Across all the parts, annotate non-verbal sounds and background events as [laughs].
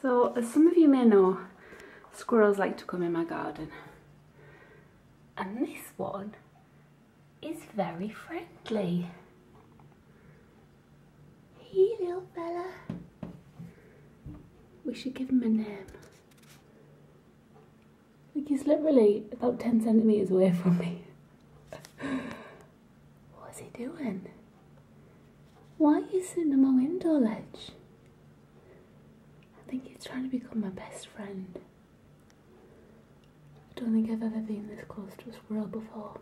So as some of you may know, squirrels like to come in my garden. And this one is very friendly. Hey little fella. We should give him a name. Like he's literally about 10 centimetres away from me. What's he doing? Why are you sitting on my window ledge? I think he's trying to become my best friend. I don't think I've ever been this close to a squirrel before.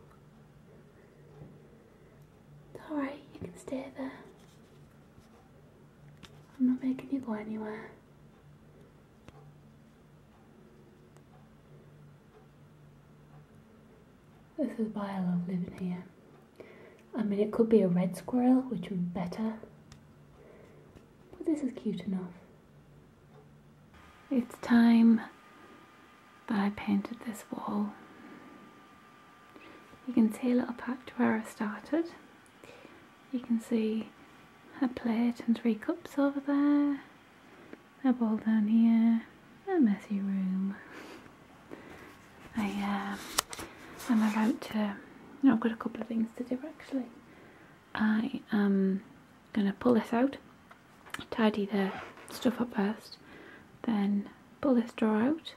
It's alright, you can stay there. I'm not making you go anywhere. This is why I love living here. I mean, it could be a red squirrel, which would be better. But this is cute enough. It's time that I painted this wall. You can see a little patch where I started. You can see a plate and three cups over there, a bowl down here, a messy room. I uh, am about to. I've got a couple of things to do actually. I am gonna pull this out, tidy the stuff up first, then pull this drawer out.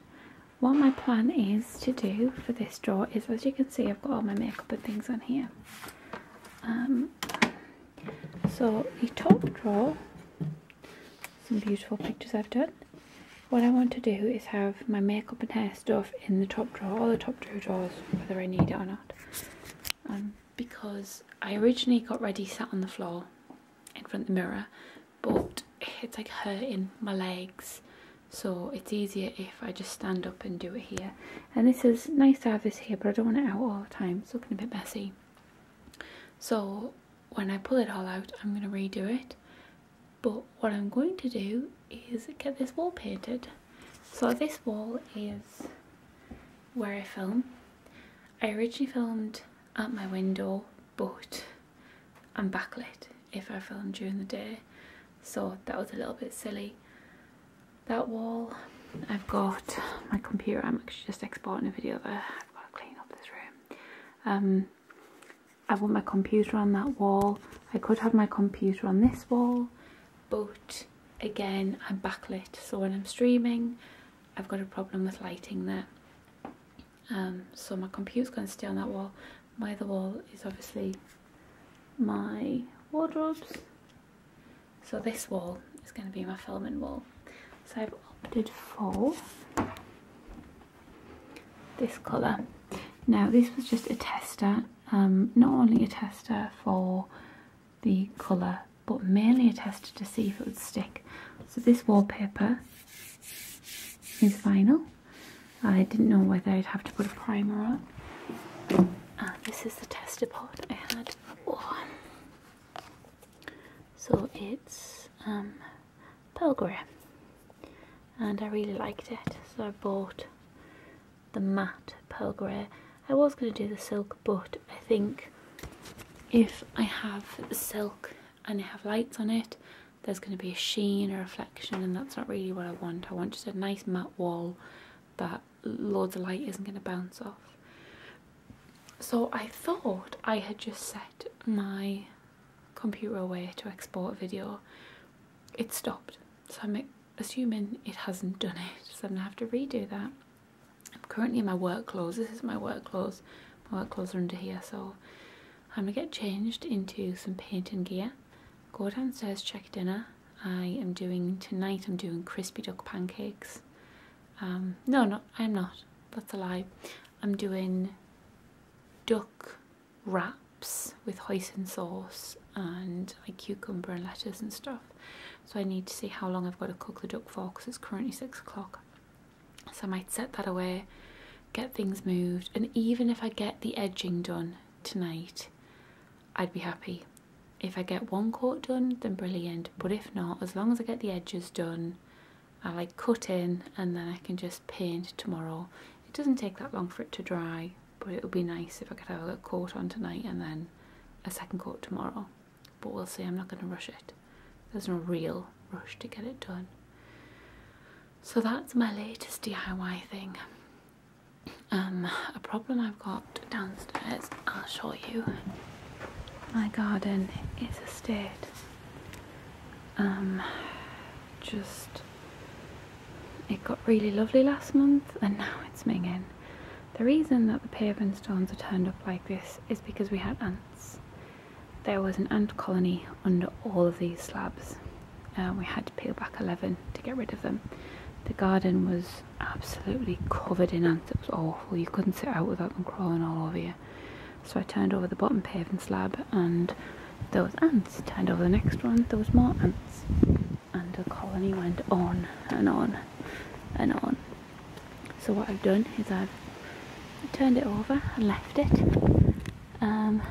What my plan is to do for this drawer is, as you can see, I've got all my makeup and things on here. Um, so the top drawer, some beautiful pictures I've done. What I want to do is have my makeup and hair stuff in the top drawer, all the top drawer drawers, whether I need it or not. Um, because I originally got ready sat on the floor in front of the mirror, but it's like hurting my legs so it's easier if I just stand up and do it here and this is nice to have this here but I don't want it out all the time it's looking a bit messy so when I pull it all out I'm going to redo it but what I'm going to do is get this wall painted so this wall is where I film I originally filmed at my window but I'm backlit if I film during the day so that was a little bit silly that wall I've got my computer I'm actually just exporting a video there I've got to clean up this room um, I want my computer on that wall I could have my computer on this wall but again I'm backlit so when I'm streaming I've got a problem with lighting there um, so my computer's going to stay on that wall my other wall is obviously my wardrobes. So this wall is going to be my filament wall. So I've opted for this colour. Now this was just a tester, um, not only a tester for the colour but mainly a tester to see if it would stick. So this wallpaper is final. I didn't know whether I'd have to put a primer on. Uh, this is the tester pot I had. So it's um, pearl grey, and I really liked it so I bought the matte pearl grey. I was going to do the silk but I think if I have the silk and I have lights on it there's going to be a sheen a reflection and that's not really what I want. I want just a nice matte wall that Lord's light isn't going to bounce off. So I thought I had just set my computer away to export a video. It stopped, so I'm assuming it hasn't done it, so I'm going to have to redo that. I'm currently in my work clothes, this is my work clothes, my work clothes are under here, so I'm going to get changed into some painting gear, go downstairs, check dinner, I am doing tonight. I'm doing crispy duck pancakes. Um, no, no, I'm not. That's a lie. I'm doing duck wraps with hoisin sauce and like cucumber and lettuce and stuff. So I need to see how long I've got to cook the duck for because it's currently six o'clock. So I might set that away, get things moved, and even if I get the edging done tonight, I'd be happy if I get one coat done then brilliant but if not as long as I get the edges done I like cut in and then I can just paint tomorrow it doesn't take that long for it to dry but it would be nice if I could have a coat on tonight and then a second coat tomorrow but we'll see I'm not going to rush it there's no real rush to get it done so that's my latest DIY thing um, a problem I've got downstairs. I'll show you. My garden is a state. Um, just it got really lovely last month and now it's minging. The reason that the paving stones are turned up like this is because we had ants. There was an ant colony under all of these slabs. Uh, we had to peel back 11 to get rid of them. The garden was absolutely covered in ants. It was awful. You couldn't sit out without them crawling all over you. So I turned over the bottom paving slab and there was ants. Turned over the next one, there was more ants. And the colony went on and on and on. So what I've done is I've turned it over and left it. Um,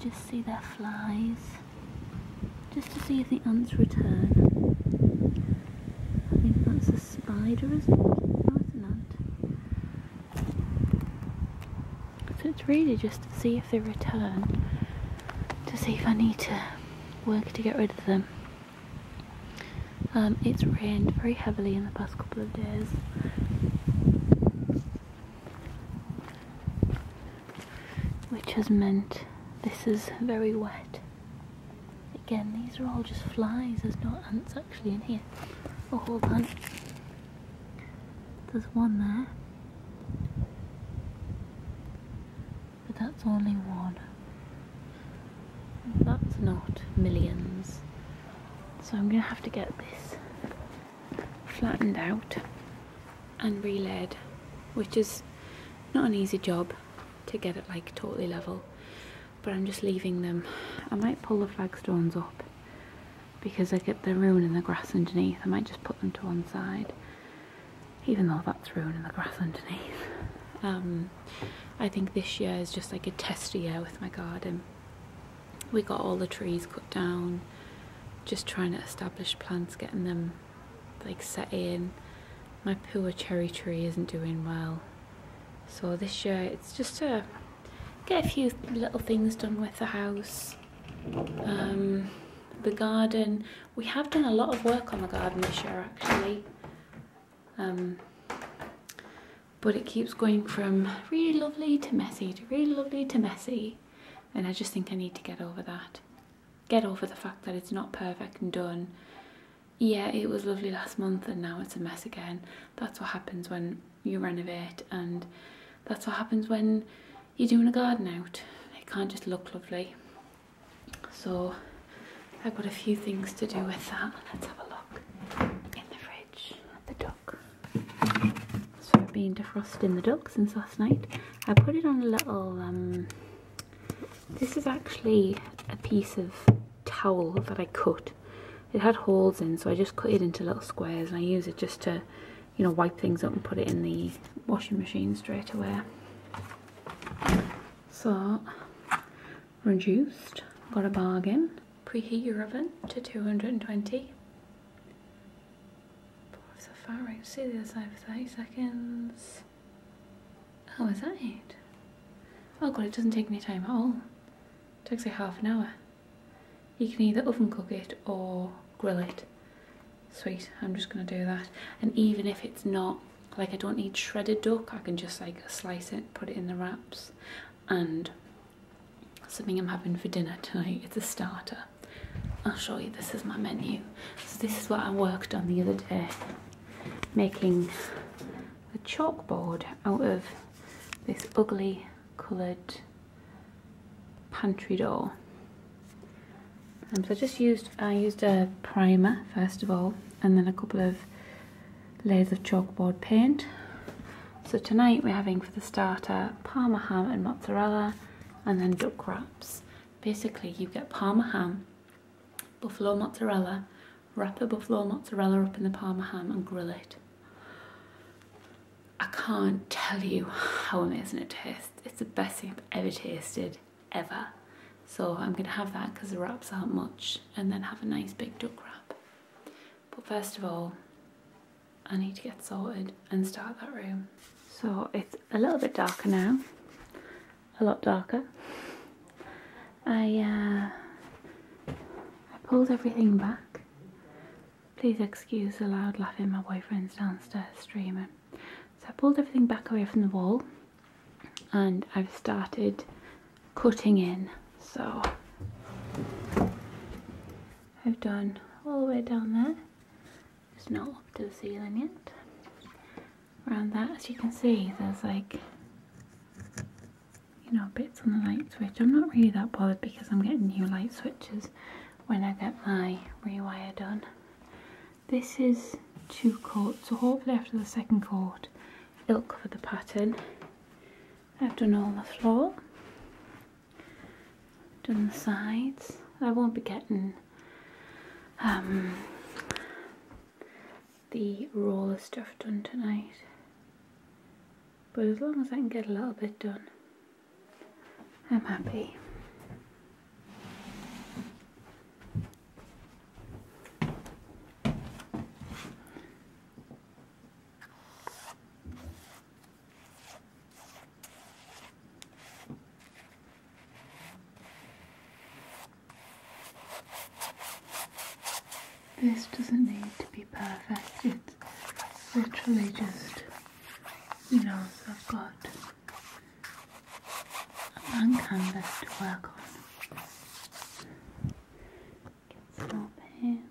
just see their flies just to see if the ants return. I think that's a spider, isn't it? No, it's an ant. So it's really just to see if they return, to see if I need to work to get rid of them. Um, it's rained very heavily in the past couple of days which has meant this is very wet. Again, these are all just flies, there's no ants actually in here. Oh, hold on. There's one there. But that's only one. That's not millions. So I'm going to have to get this flattened out and re-led, which is not an easy job to get it like totally level, but I'm just leaving them. I might pull the flagstones up because I get the ruining the grass underneath. I might just put them to one side, even though that's ruining the grass underneath. Um, I think this year is just like a test year with my garden. We got all the trees cut down, just trying to establish plants, getting them like set My poor cherry tree isn't doing well. So this year it's just to get a few little things done with the house. Um, the garden, we have done a lot of work on the garden this year actually. Um, but it keeps going from really lovely to messy to really lovely to messy and I just think I need to get over that get over the fact that it's not perfect and done. Yeah, it was lovely last month and now it's a mess again. That's what happens when you renovate, and that's what happens when you're doing a garden out. It can't just look lovely. So, I've got a few things to do with that. Let's have a look in the fridge at the duck. So, I've been defrosting the ducks since last night. I put it on a little, um, this is actually a piece of towel that I cut. It had holes in so I just cut it into little squares and I use it just to, you know, wipe things up and put it in the washing machine straight away. So, reduced, got a bargain. Preheat your oven to 220 Four See the other side for 30 seconds. Oh, is that it? Oh god, it doesn't take me time at all. It takes like half an hour. You can either oven cook it or grill it. Sweet, I'm just going to do that. And even if it's not, like I don't need shredded duck, I can just like slice it, put it in the wraps. And something I'm having for dinner tonight, it's a starter. I'll show you. This is my menu. So this is what I worked on the other day, making a chalkboard out of this ugly coloured pantry door. And um, so I just used I used a primer first of all, and then a couple of layers of chalkboard paint. So tonight we're having for the starter parma ham and mozzarella, and then duck wraps. Basically, you get parma ham, buffalo mozzarella, wrap a buffalo mozzarella up in the parma ham and grill it. I can't tell you how amazing it tastes. It's the best thing I've ever tasted, ever. So I'm going to have that because the wraps aren't much and then have a nice big duck wrap. But first of all, I need to get sorted and start that room. So it's a little bit darker now, a lot darker. Uh, I, pulled everything back. Please excuse the loud laughing, my boyfriend's downstairs streaming. So I pulled everything back away from the wall and I've started cutting in. So I've done all the way down there there's not up to the ceiling yet. Around that, as you can see, there's like, you know, bits on the light switch. I'm not really that bothered because I'm getting new light switches when I get my rewire done. This is two coats, so hopefully after the second coat, it'll cover the pattern. I've done all the floor, done the sides. I won't be getting um, the roller stuff done tonight. But as long as I can get a little bit done, I'm happy. This doesn't need to be perfect, it's literally just, you know, I've got a blank canvas to work on. Get some paint.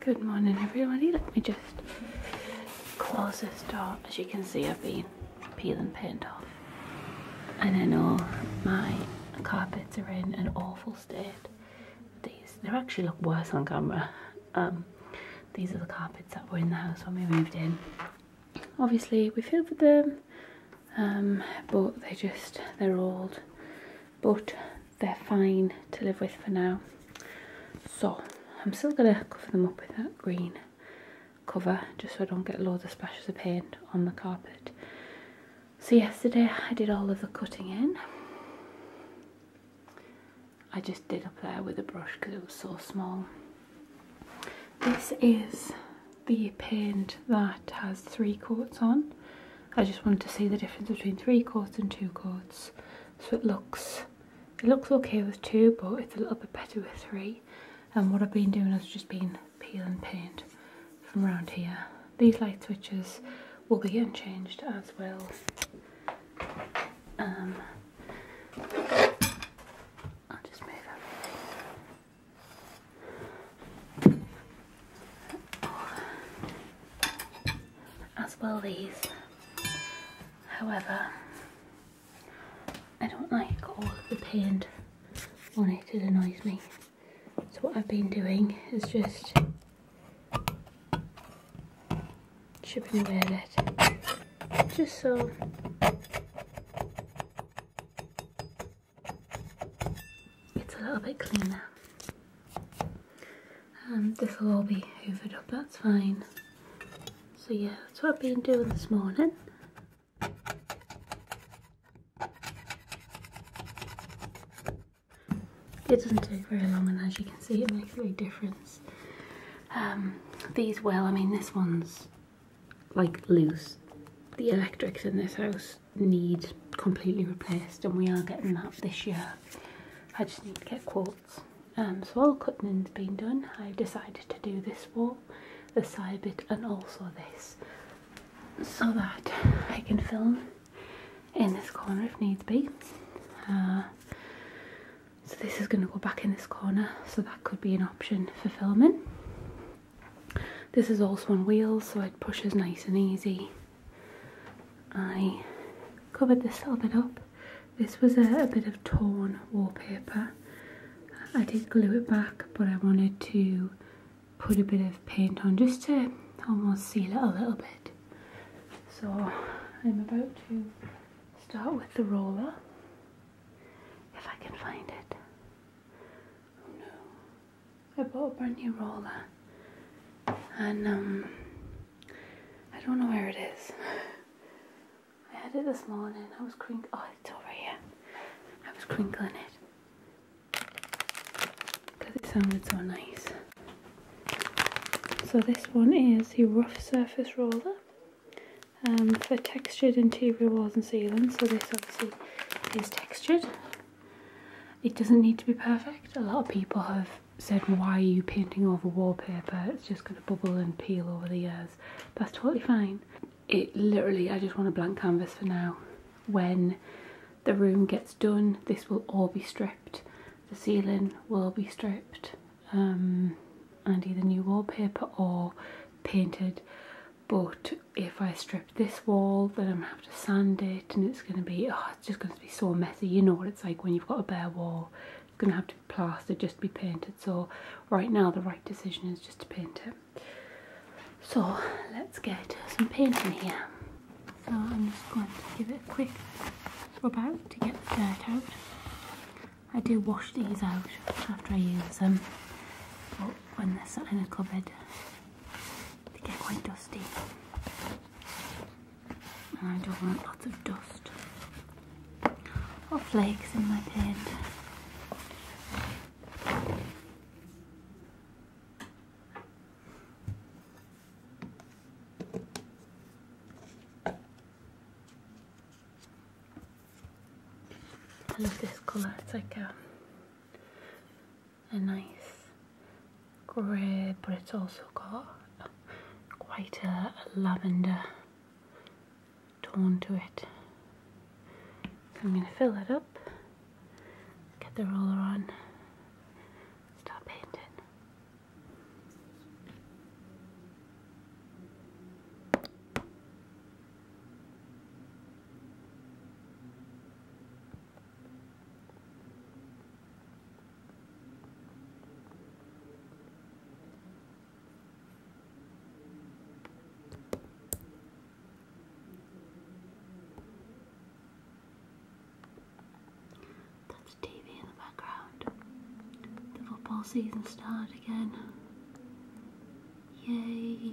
Good morning everybody. Let me just close this door. As you can see I've been peeling paint off. And I know my carpets are in an awful state. These, they actually look worse on camera. Um, these are the carpets that were in the house when we moved in. Obviously we filled them, um, but they just, they're old. But they're fine to live with for now. So I'm still going to cover them up with that green cover just so I don't get loads of splashes of paint on the carpet. So yesterday I did all of the cutting in. I just did up there with a brush because it was so small. This is the paint that has three coats on. I just wanted to see the difference between three coats and two coats so it looks it looks okay with two but it's a little bit better with three and what I've been doing is just been peeling paint from around here these light switches will be getting changed as well um, I'll just move As well these However, I don't like all the paint on it, it annoys me. So what I've been doing is just chipping away at it, just so it's a little bit cleaner. And this will all be hoovered up, that's fine. So yeah, that's what I've been doing this morning. It doesn't take very long and as you can see it makes a big difference. Um, these well, I mean this one's like loose. The electrics in this house need completely replaced and we are getting that this year. I just need to get quotes. Um, so all cutting's been done, I've decided to do this wall, the side bit and also this so that I can film in this corner if needs be. Uh, so this is going to go back in this corner so that could be an option for filming. This is also on wheels so it pushes nice and easy. I covered this little bit up this was a, bit of torn wallpaper. I did glue it back, but I wanted to put a bit of paint on just to almost seal it a little bit. So I'm about to start with the roller, if I can find it. Oh, I bought a brand new roller and um, I don't know where it is. I had it this morning. I was crinkling. Oh, it's over here. I was crinkling it because it sounded so nice. So this one is the rough surface roller um, for textured interior walls and ceilings. So this obviously is textured. It doesn't need to be perfect. A lot of people have said, why are you painting over wallpaper? It's just going to bubble and peel over the years. That's totally fine. It literally, I just want a blank canvas for now. When the room gets done, this will all be stripped. The ceiling will be stripped. Um, and either new wallpaper or painted but if I strip this wall then I'm gonna have to sand it and it's gonna be oh it's just gonna be so messy you know what it's like when you've got a bare wall going to have to be plastered just to be painted so right now the right decision is just to paint it so let's get some paint in here so I'm just going to give it a quick rub out to get the dirt out I do wash these out after I use them but when they're sat in a cupboard they get quite dusty I don't want lots of dust or flakes in my bed. I love this colour, it's like a, a nice grey but it's also got quite a, lavender tone to it. I'm going to fill it up, get the roller on, start painting. That's TV in the background. The football season started again. Yay!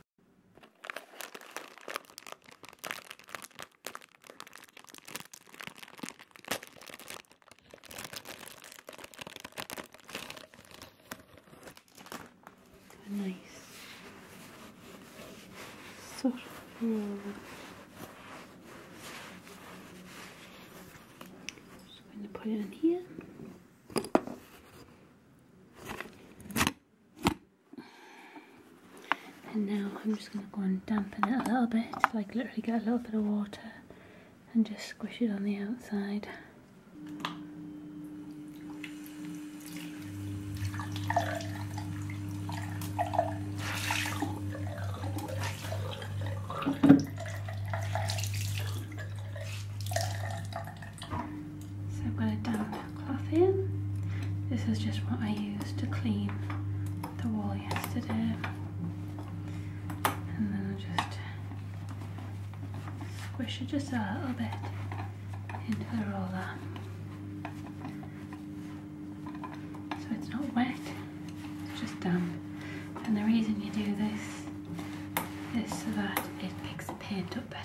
a nice sort of roll. Uh, just going to put it in here. And now I'm just going to go and dampen it a little bit, like literally get a little bit of water and just squish it on the outside. So I'm going to damp the cloth in. This is just what I used to clean the wall yesterday. And then I'll just squish it just a little bit into the roller. So it's not wet, it's just damp. And the reason you do this is so that it picks the paint up better.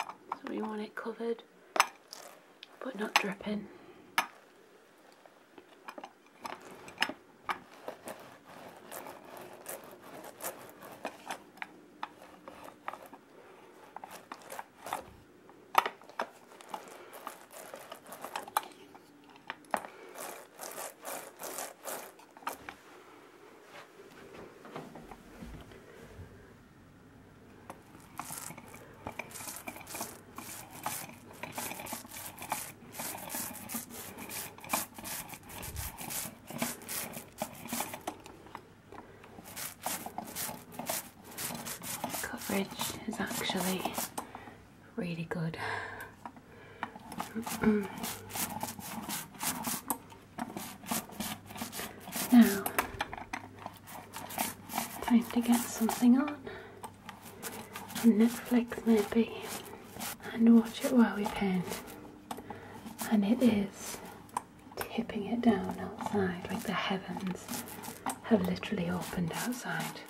So we want it covered but not dripping. Coverage is actually really good. [clears throat] Now, time to get something on. Netflix, maybe, and watch it while we paint. And it is tipping it down outside, like the heavens have literally opened outside.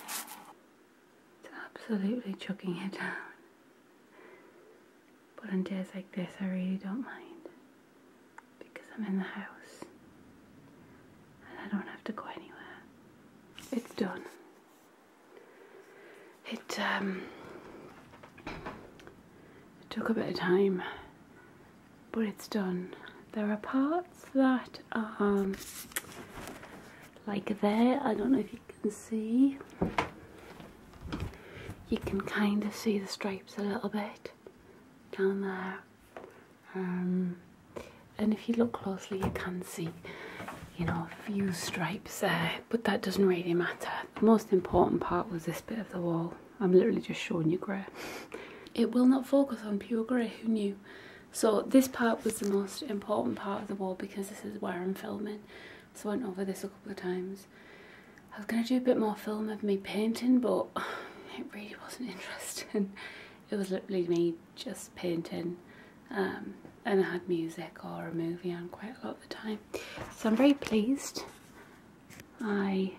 It's absolutely chucking it down. But on days like this, I really don't mind because I'm in the house and I don't have to go anywhere. It's done. It, um, took a bit of time, but it's done. There are parts that um, like there, I don't know if you can see. You can kind of see the stripes a little bit down there. Um, and if you look closely, you can see, you know, a few stripes there, but that doesn't really matter. The most important part was this bit of the wall. I'm literally just showing you grey. [laughs] it will not focus on pure grey, who knew? So this part was the most important part of the wall because this is where I'm filming. So I went over this a couple of times. I was going to do a bit more film of me painting but [sighs] it really wasn't [laughs] interesting. It was literally me just painting um, and I had music or a movie on quite a lot of the time. So I'm very pleased. I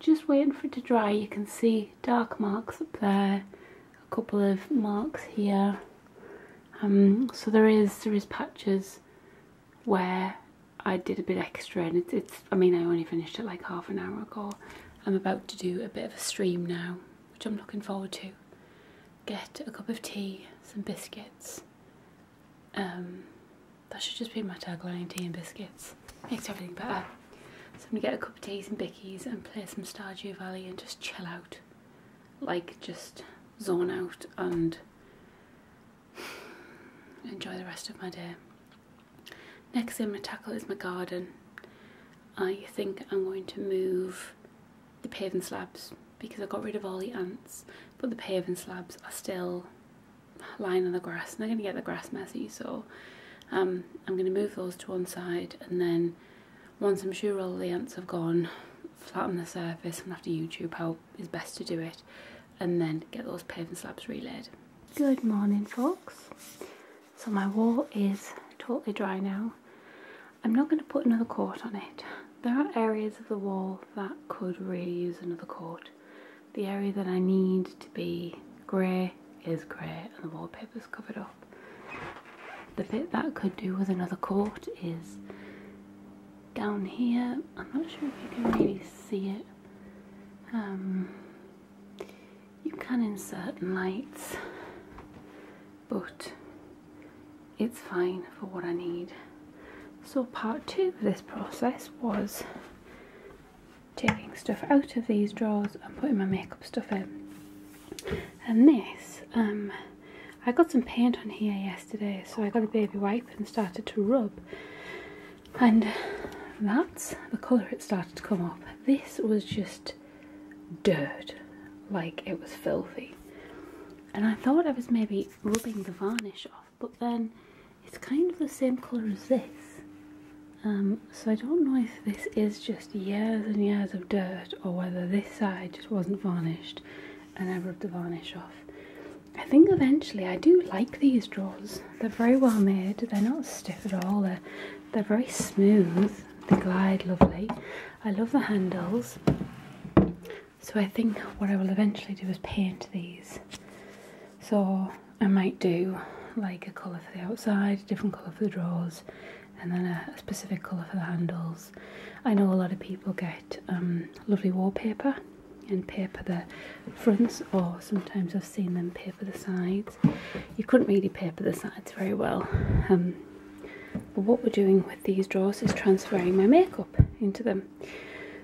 just waiting for it to dry. You can see dark marks up there, a couple of marks here. Um, so there is there is patches where I did a bit extra and it's, it's I mean I only finished it like half an hour ago. I'm about to do a bit of a stream now which I'm looking forward to. Get a cup of tea, some biscuits. Um, that should just be my tagline, tea and biscuits. Makes everything better. So I'm gonna get a cup of tea, some bickies and play some Stardew Valley and just chill out. Like just zone out and enjoy the rest of my day. Next thing i tackle is my garden. I think I'm going to move the paving slabs because I got rid of all the ants, but the paving slabs are still lying on the grass and I'm going to get the grass messy. So um, I'm going to move those to one side and then once I'm sure all the ants have gone, flatten the surface and after YouTube out is best to do it and then get those paving slabs relaid. Good morning folks. So my wall is totally dry now. I'm not going to put another coat on it. There are areas of the wall that could really use another coat. The area that I need to be grey is grey and the wallpaper's covered up. The bit that could do with another coat is down here. I'm not sure if you can really see it um, you can insert lights, but it's fine for what I need. So part two of this process was taking stuff out of these drawers and putting my makeup stuff in. And this, um, I got some paint on here yesterday, so I got a baby wipe and started to rub and that's the colour it started to come off. This was just dirt, like it was filthy. And I thought I was maybe rubbing the varnish off, but then it's kind of the same colour as this. Um, so I don't know if this is just years and years of dirt or whether this side just wasn't varnished and I rubbed the varnish off. I think eventually I do like these drawers. They're very well made. They're not stiff at all. They're very smooth. They glide lovely. I love the handles. So I think what I will eventually do is paint these. So I might do like a colour for the outside, a different colour for the drawers, and then a, specific colour for the handles. I know a lot of people get um, lovely wallpaper and paper the fronts or sometimes I've seen them paper the sides. You couldn't really paper the sides very well. Um, but what we're doing with these drawers is transferring my makeup into them.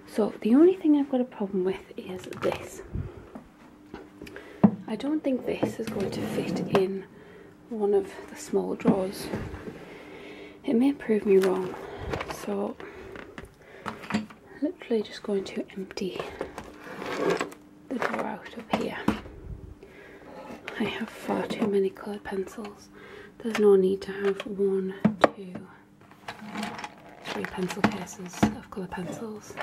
So the only thing I've got a problem with is this. I don't think this is going to fit in one of the small drawers. It may prove me wrong. So literally just going to empty the drawer out of here. I have far too many coloured pencils. There's no need to have one, two, three pencil cases of colored pencils.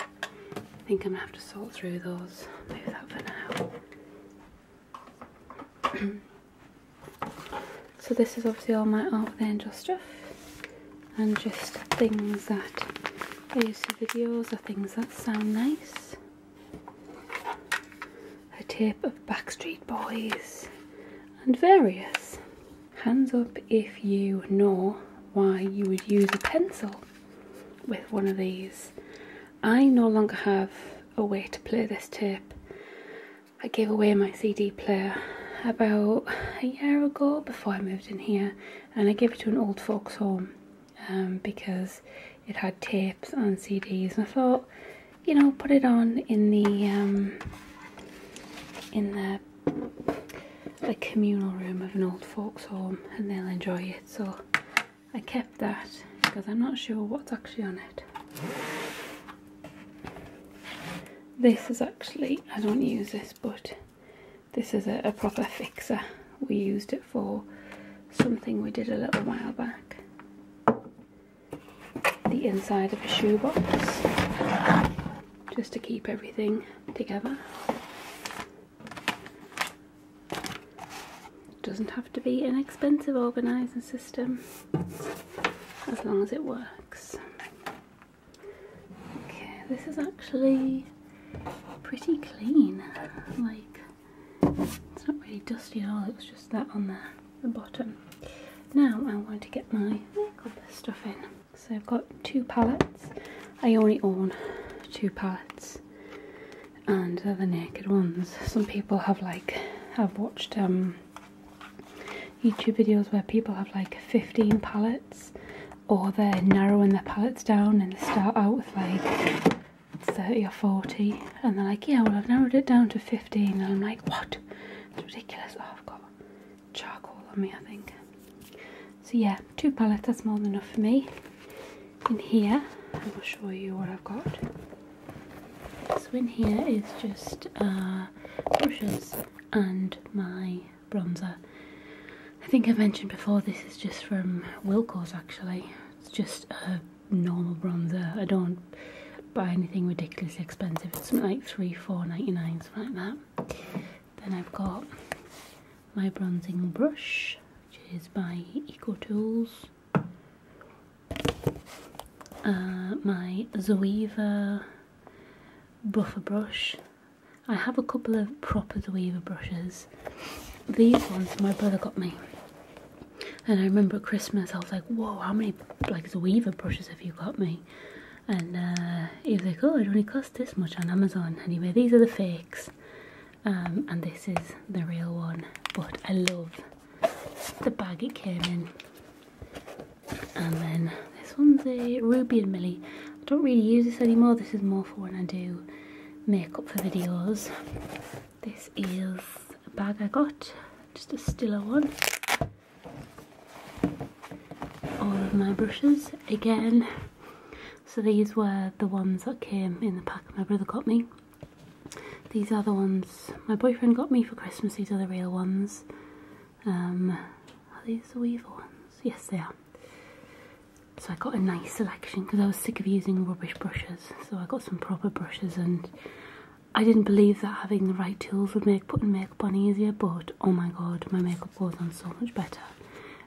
I think I'm gonna have to sort through those. Leave that for now. [clears throat] so this is obviously all my Art with Angel stuff and just things that I use for videos or things that sound nice. A tape of Backstreet Boys and various. Hands up if you know why you would use a pencil with one of these. I no longer have a way to play this tape. I gave away my CD player about a year ago before I moved in here, and I gave it to an old folks' home um, because it had tapes and CDs, and I thought, you know, put it on in the um, in the communal room of an old folks' home, and they'll enjoy it. So I kept that because I'm not sure what's actually on it. This is actually I don't use this, but this is a, proper fixer. We used it for something we did a little while back. The inside of a shoebox, just to keep everything together. Doesn't have to be an expensive organising system, as long as it works. Okay, this is actually pretty clean. Like, it's not really dusty at all, it's just that on the, the bottom. Now I want to get my makeup stuff in. So I've got two palettes. I only own two palettes and they the naked ones. Some people have like, have watched um, YouTube videos where people have like 15 palettes or they're narrowing their palettes down and start out with like 30 or 40 and they're like yeah well I've narrowed it down to 15 and I'm like what it's ridiculous oh, I've got charcoal on me I think so yeah two palettes that's more than enough for me in here I will show you what I've got so in here is just uh, brushes and my bronzer. I think I mentioned before this is just from Wilco's actually. It's just a normal bronzer. I don't buy anything ridiculously expensive. It's like three, four ninety nine, something like that. Then I've got my bronzing brush, which is by Eco Tools. Uh, my Zoeva buffer brush I have a couple of proper The Weaver brushes. These ones my brother got me. And I remember at Christmas I was like, whoa, how many like The Weaver brushes have you got me? And uh, he was like, oh, it only cost this much on Amazon. Anyway, these are the fakes. Um, and this is the real one. But I love the bag it came in. And then this one's a Ruby and Millie. I don't really use this anymore. This is more for when I do makeup for videos. This is a bag I got, just a stiller one. All of my brushes again. So these were the ones that came in the pack my brother got me. These are the ones my boyfriend got me for Christmas. These are the real ones. Um, are these the Weaver ones? Yes, they are. So I got a nice selection because I was sick of using rubbish brushes. So I got some proper brushes and I didn't believe that having the right tools would make putting makeup on easier but oh my god my makeup goes on so much better.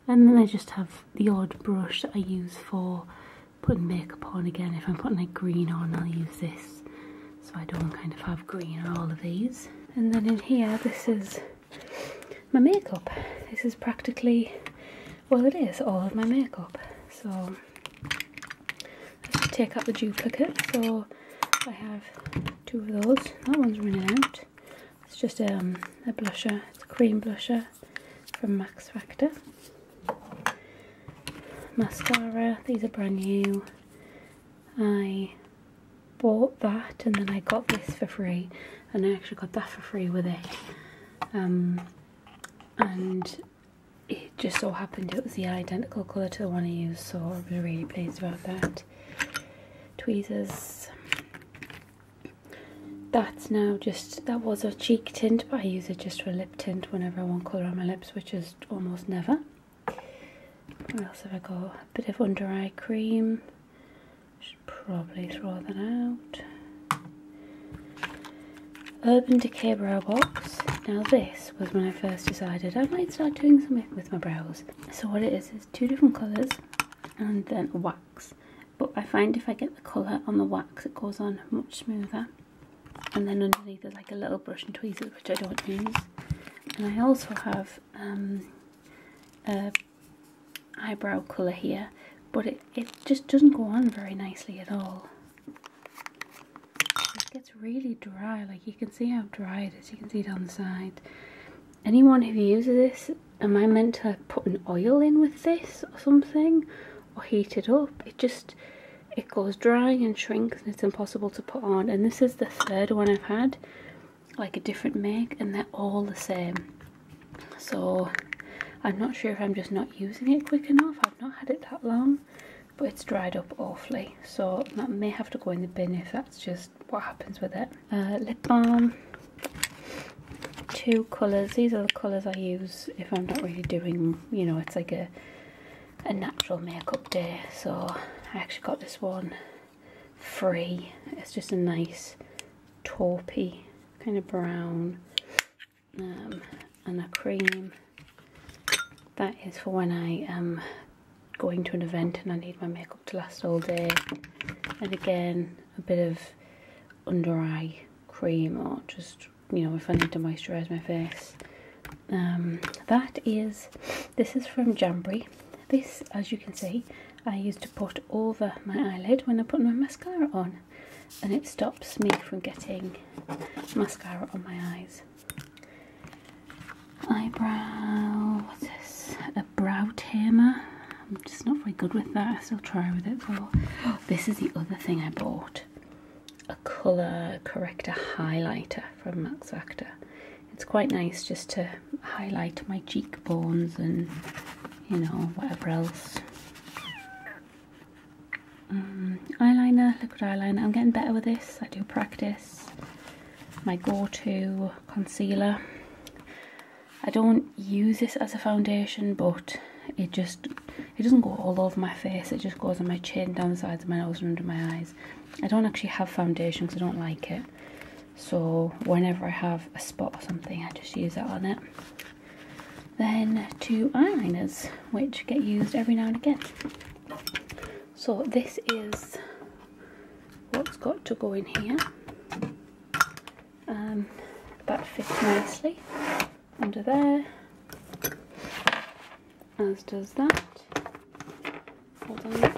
And then I just have the odd brush that I use for putting makeup on again. If I'm putting like green on I'll use this so I don't kind of have green on all of these. And then in here this is my makeup. This is practically, well it is, all of my makeup. So I take out the duplicates. So I have two of those. That one's running out. It's just um, a blusher, it's a cream blusher from Max Factor. Mascara, these are brand new. I bought that and then I got this for free and I actually got that for free with it um, and it just so happened it was the identical colour to the one I used so I am really pleased about that tweezers that's now just that was a cheek tint but I use it just for lip tint whenever I want colour on my lips which is almost never what else have I got a bit of under eye cream should probably throw that out. Urban Decay Brow Box. Now this was when I first decided I might start doing something with my brows. So what it is is two different colours and then wax. But I find if I get the colour on the wax it goes on much smoother. And then underneath there's like a little brush and tweezers which I don't use. And I also have um, a eyebrow colour here, but it, it just doesn't go on very nicely at all. It gets really dry, like you can see how dry it is, you can see down the side. Anyone who uses this, am I meant to put an oil in with this or something? Or heat it up? It just, it goes dry and shrinks and it's impossible to put on. And this is the third one I've had like a different make and they're all the same so I'm not sure if I'm just not using it quick enough I've not had it that long but it's dried up awfully so that may have to go in the bin if that's just what happens with it uh, lip balm two colours these are the colours I use if I'm not really doing you know it's like a a natural makeup day so I actually got this one free. It's just a nice taupey kind of brown um, and a cream. That is for when I am going to an event and I need my makeup to last all day. And again, a bit of under eye cream or just, you know, if I need to moisturise my face. Um, that is, this is from Jamboree this, as you can see, I use to put over my eyelid when I put my mascara on and it stops me from getting mascara on my eyes. Eyebrow, what's this? A brow tamer. I'm just not very good with that. I still try with it though. [gasps] this is the other thing I bought. A colour corrector highlighter from Max Factor it's quite nice just to highlight my cheekbones and you know whatever else um, eyeliner liquid eyeliner I'm getting better with this I do practice my go-to concealer I don't use this as a foundation but it just it doesn't go all over my face it just goes on my chin down the sides of my nose and under my eyes I don't actually have foundation because I don't like it so whenever I have a spot or something I just use that on it. Then two eyeliners which get used every now and again. So this is what's got to go in here. Um, that fits nicely under there as does that. Hold on.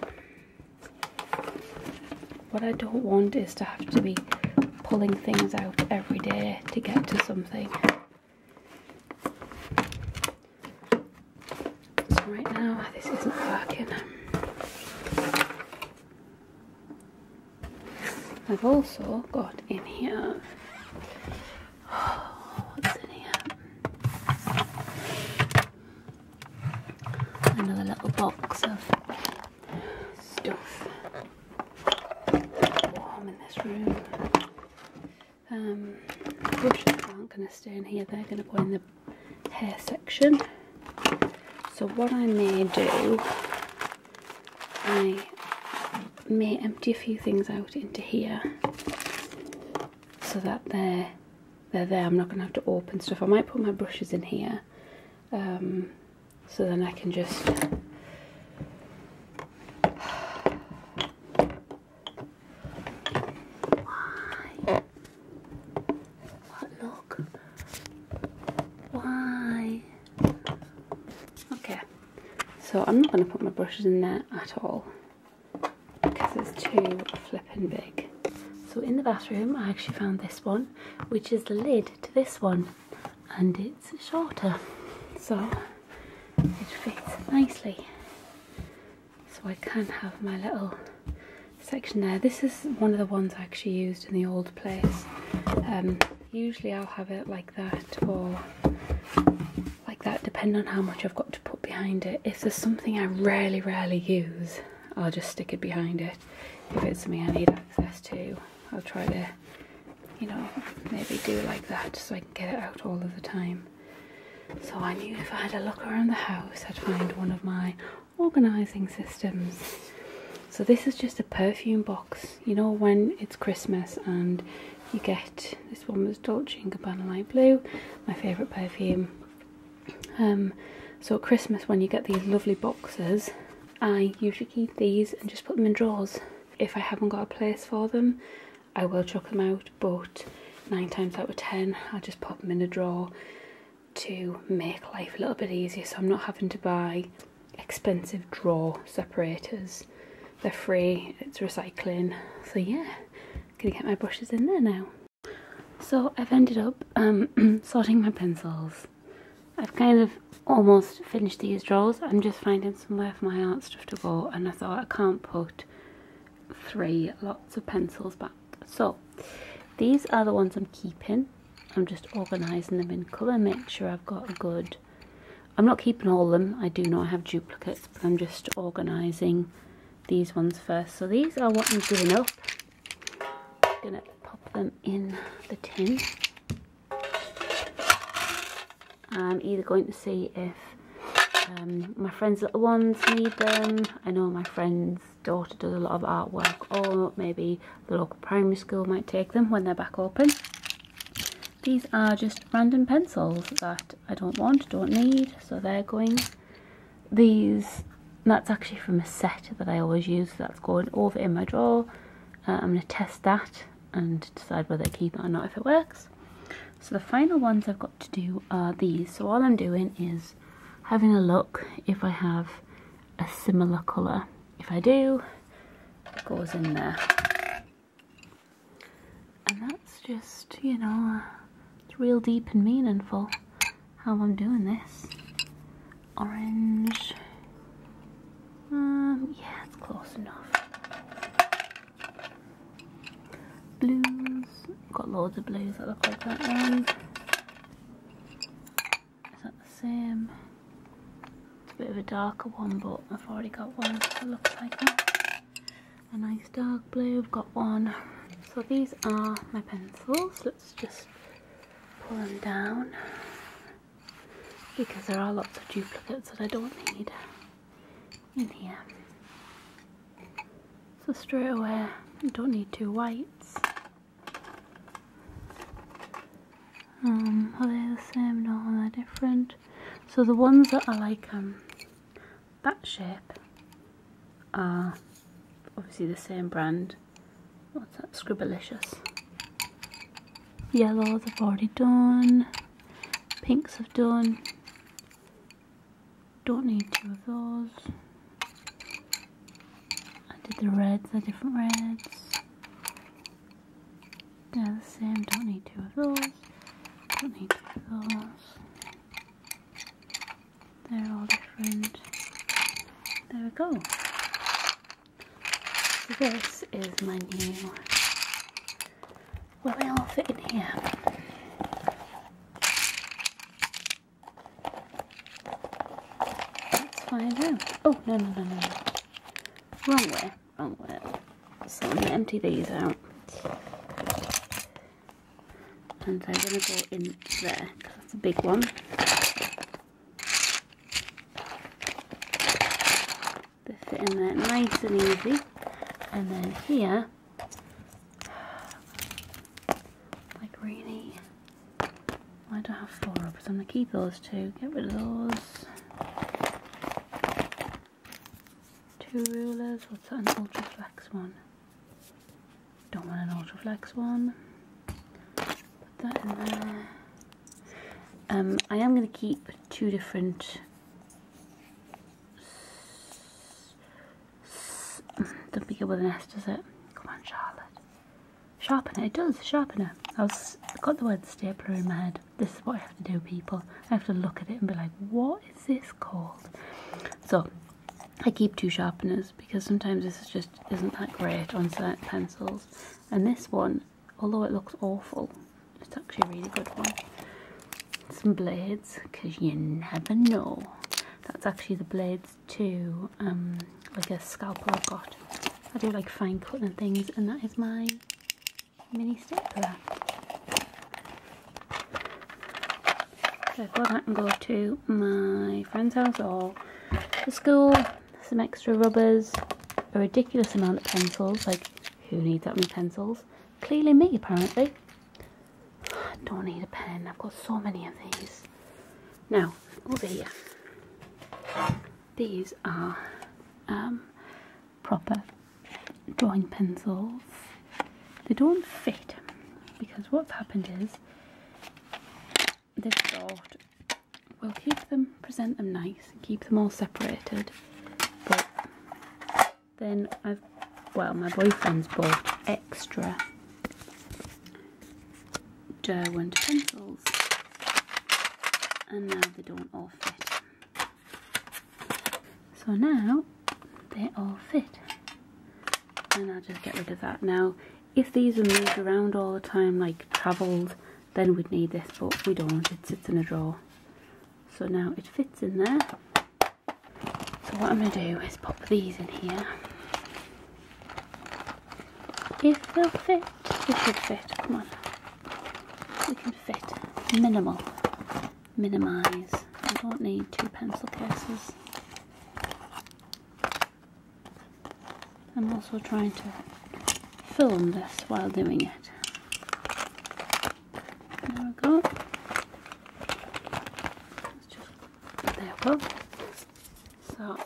What I don't want is to have to be pulling things out every day to get to something. right now this isn't working. I've also got in here oh, what's in here? another little box of stuff. Warm in this room. Um, brushes aren't going to stay in here, they're going to go in the hair section. So what I may do, I may empty a few things out into here so that they're they're there. I'm not going to have to open stuff. I might put my brushes in here um, so then I can just Why? What look? Why? Okay, so I'm not going to put my brushes in there at all because it's too flippant and bake. So in the bathroom I actually found this one which is the lid to this one and it's shorter so it fits nicely so I can have my little section there. This is one of the ones I actually used in the old place. Um, usually I'll have it like that or like that depending on how much I've got to put behind it. If there's something I rarely, rarely use, I'll just stick it behind it if it's something I need access to I'll try to you know maybe do like that so I can get it out all of the time so I knew if I had a look around the house I'd find one of my organising systems so this is just a perfume box you know when it's Christmas and you get this one was Dolce & Gabbana Light Blue my favourite perfume um, so Christmas when you get these lovely boxes, I usually keep these and just put them in drawers. If I haven't got a place for them, I will chuck them out, but nine times out of ten, I'll just pop them in a drawer to make life a little bit easier so I'm not having to buy expensive drawer separators. They're free, it's recycling. So yeah, gonna get my brushes in there now. So I've ended up um, [clears throat] sorting my pencils. I've kind of almost finished these drawers. I'm just finding somewhere for my art stuff to go and I thought I can't put three lots of pencils back. So these are the ones I'm keeping. I'm just organising them in colour, make sure I've got a good... I'm not keeping all of them, I do know I have duplicates, but I'm just organising these ones first. So these are what I'm giving up I'm gonna pop them in the tin. I'm either going to see if um, my friend's little ones need them. I know my friend's daughter does a lot of artwork or maybe the local primary school might take them when they're back open. These are just random pencils that I don't want, don't need, so they're going. These and that's actually from a set that I always use. That's going over in my drawer. Uh, I'm going to test that and decide whether to keep it or not if it works. So the final ones I've got to do are these. So all I'm doing is having a look if I have a similar colour. If I do, it goes in there. And that's just, you know, uh, it's real deep and meaningful how I'm doing this. Orange. Um, yeah, it's close enough. Blues. Got loads of blues that look like that one. Is that the same? It's a bit of a darker one, but I've already got one that looks like that. A nice dark blue, I've got one. So these are my pencils. Let's just pull them down because there are lots of duplicates that I don't need in here. So straight away, I don't need two whites. Um, are they the same? No, they're different. So the ones that are like um, that shape are obviously the same brand What's that? Scribblicious. Yellow, they have already done. Pinks have done. Don't need two of those. I did the reds, the different reds. They're the same, don't need two of those. Don't need two of those. They're all different. There we go this is my new. Will they all fit in here? Let's find out. Oh no no no no! Wrong way, wrong way. So I'm gonna empty these out, and I'm gonna go in there because that's a big one. They fit in there nice and easy. And then here, like really, I don't have four rubbers. I'm going to keep those two. Get rid of those. Two rulers. What's that? An ultra flex one. Don't want an ultra flex one. Um, I am going to keep two different don't be good with an S, does it? Come on, Charlotte. Sharpener, it does, sharpener. I have got the word stapler in my head. This is what I have to do, people. I have to look at it and be like, what is this called? So I keep two sharpeners because sometimes this just isn't that great on certain pencils. And this one, although it looks awful, it's actually a really good one. Some blades, because you never know. That's actually the blades too. um, like a scalpel I've got. I do like fine cutting things, and that is my mini stapler. So i thought I can go to my friend's house or the school some extra rubbers, a ridiculous amount of pencils, like who needs that many pencils? Clearly me apparently. I don't need a pen, I've got so many of these. Now, over here, these are um, proper drawing pencils. They don't fit because what's happened is this sort will keep them, present them nice, keep them all separated. But then I've, well, my boyfriend's bought extra Derwent pencils, and now they don't all fit. So now they all fit, and I'll just get rid of that now. If these are moved around all the time, like travelled, then we'd need this, but we don't, it sits in a drawer. So now it fits in there. So what I'm going to do is pop these in here. If they'll fit, they should fit, come on. We can fit, minimal, minimise. I don't need two pencil cases. I'm also trying to film this while doing it. There we go. there we go. So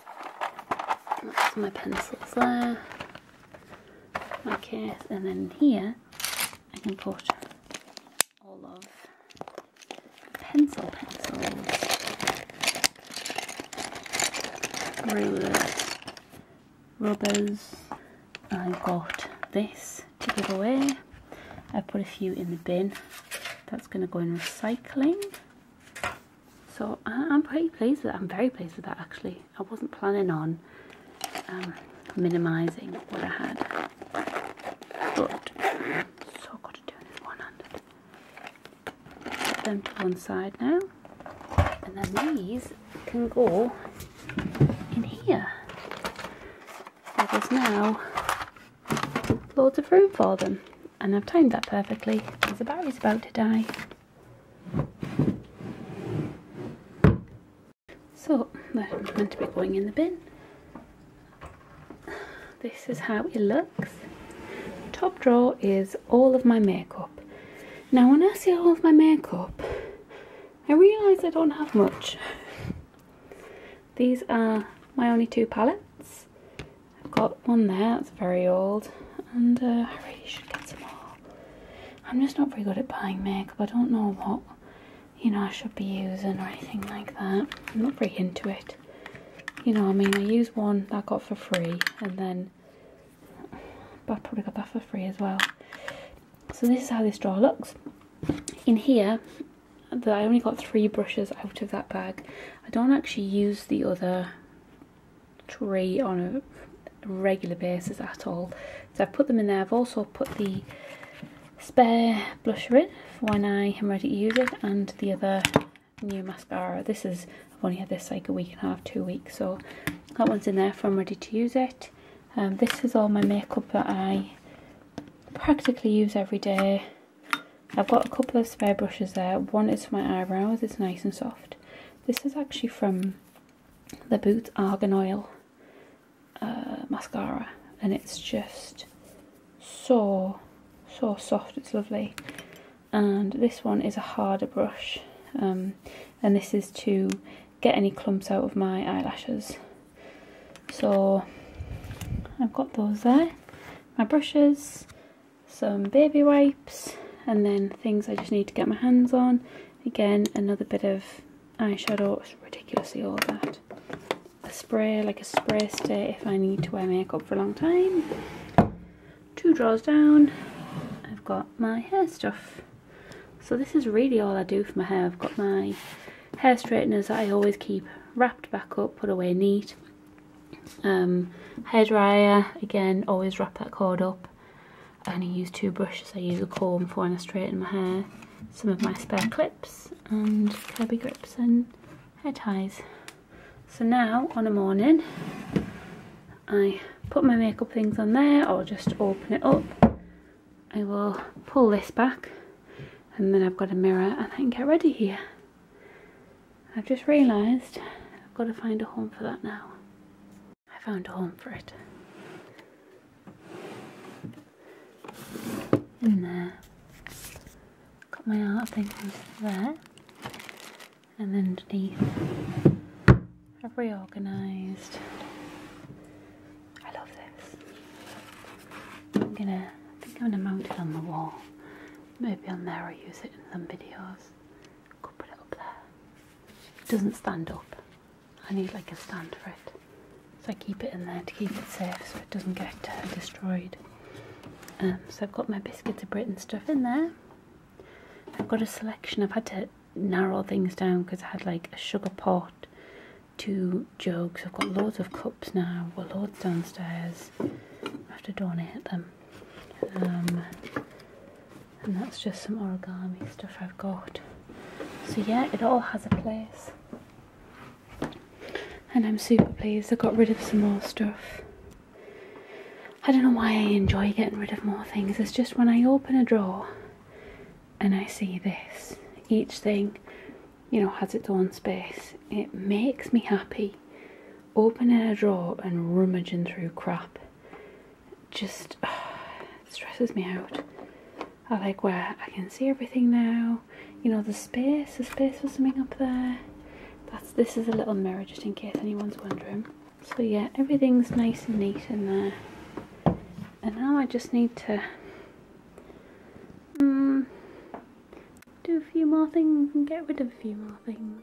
that's my pencils there. My case, and then here I can put all of pencil pencils Marie rubbers. I've got this to give away. I put a few in the bin. That's going to go in recycling. So I'm pretty pleased with that. I'm very pleased with that actually. I wasn't planning on um, minimising what I had. But so got to do this one Put them to one side now. And then these can go in here. So there's now loads of room for them. And I've timed that perfectly because the battery's about to die. So, they meant to be going in the bin. This is how it looks. Top drawer is all of my makeup. Now when I see all of my makeup, I realise I don't have much. These are my only two palettes. I've got one there, that's very old, and uh, I really should get some more. I'm just not very good at buying makeup, I don't know what, you know, I should be using or anything like that. I'm not very into it. You know, I mean, I use one that I got for free, and then then but I probably got that for free as well. So this is how this drawer looks. In here, the, I only got three brushes out of that bag. I don't actually use the other three on a regular basis at all. So I've put them in there. I've also put the spare blusher in when I am ready to use it and the other new mascara. This is, I've only had this like a week and a half, two weeks. So that one's in there for I'm ready to use it. Um, this is all my makeup that I practically use every day. I've got a couple of spare brushes there. One is for my eyebrows, it's nice and soft. This is actually from the Boots Argan Oil uh, mascara and it's just so, so soft, it's lovely and this one is a harder brush um, and this is to get any clumps out of my eyelashes so I've got those there my brushes some baby wipes and then things I just need to get my hands on again another bit of eyeshadow it's ridiculously all that a spray like a spray stay if I need to wear makeup for a long time two drawers down I've got my hair stuff so this is really all I do for my hair I've got my hair straighteners I always keep wrapped back up put away neat um, hair dryer again always wrap that cord up I only use two brushes I use a comb for when I straighten my hair some of my spare clips and Kirby grips and hair ties so now on a morning, I put my makeup things on there or just open it up. I will pull this back and then I've got a mirror and I can get ready here. I've just realised I've got to find a home for that now. I found a home for it. In there. Got my art things there and underneath I've reorganised. I love this. I'm gonna, I think I'm gonna mount it on the wall. Maybe on there or use it in some videos. Could put it up there. doesn't stand up. I need like a stand for it. So I keep it in there to keep it safe so it doesn't get uh, destroyed. Um, so I've got my biscuit of Britain stuff in there. I've got a selection. I've had to narrow things down because I had like a sugar pot, two jugs. I've got loads of cups now. Well, loads downstairs. I have to donate them. Um, and that's just some origami stuff I've got. So yeah, it all has a place. And I'm super pleased I got rid of some more stuff. I don't know why I enjoy getting rid of more things. It's just when I open a drawer and I see this, each thing, you know, has its own space. It makes me happy opening a drawer and rummaging through crap. Just [sighs] stresses me out. I like where I can see everything now. You know, the space, the space for something up there. That's this is a little mirror just in case anyone's wondering. So yeah, everything's nice and neat in there. And now I just need to mm, do a few more things and get rid of a few more things.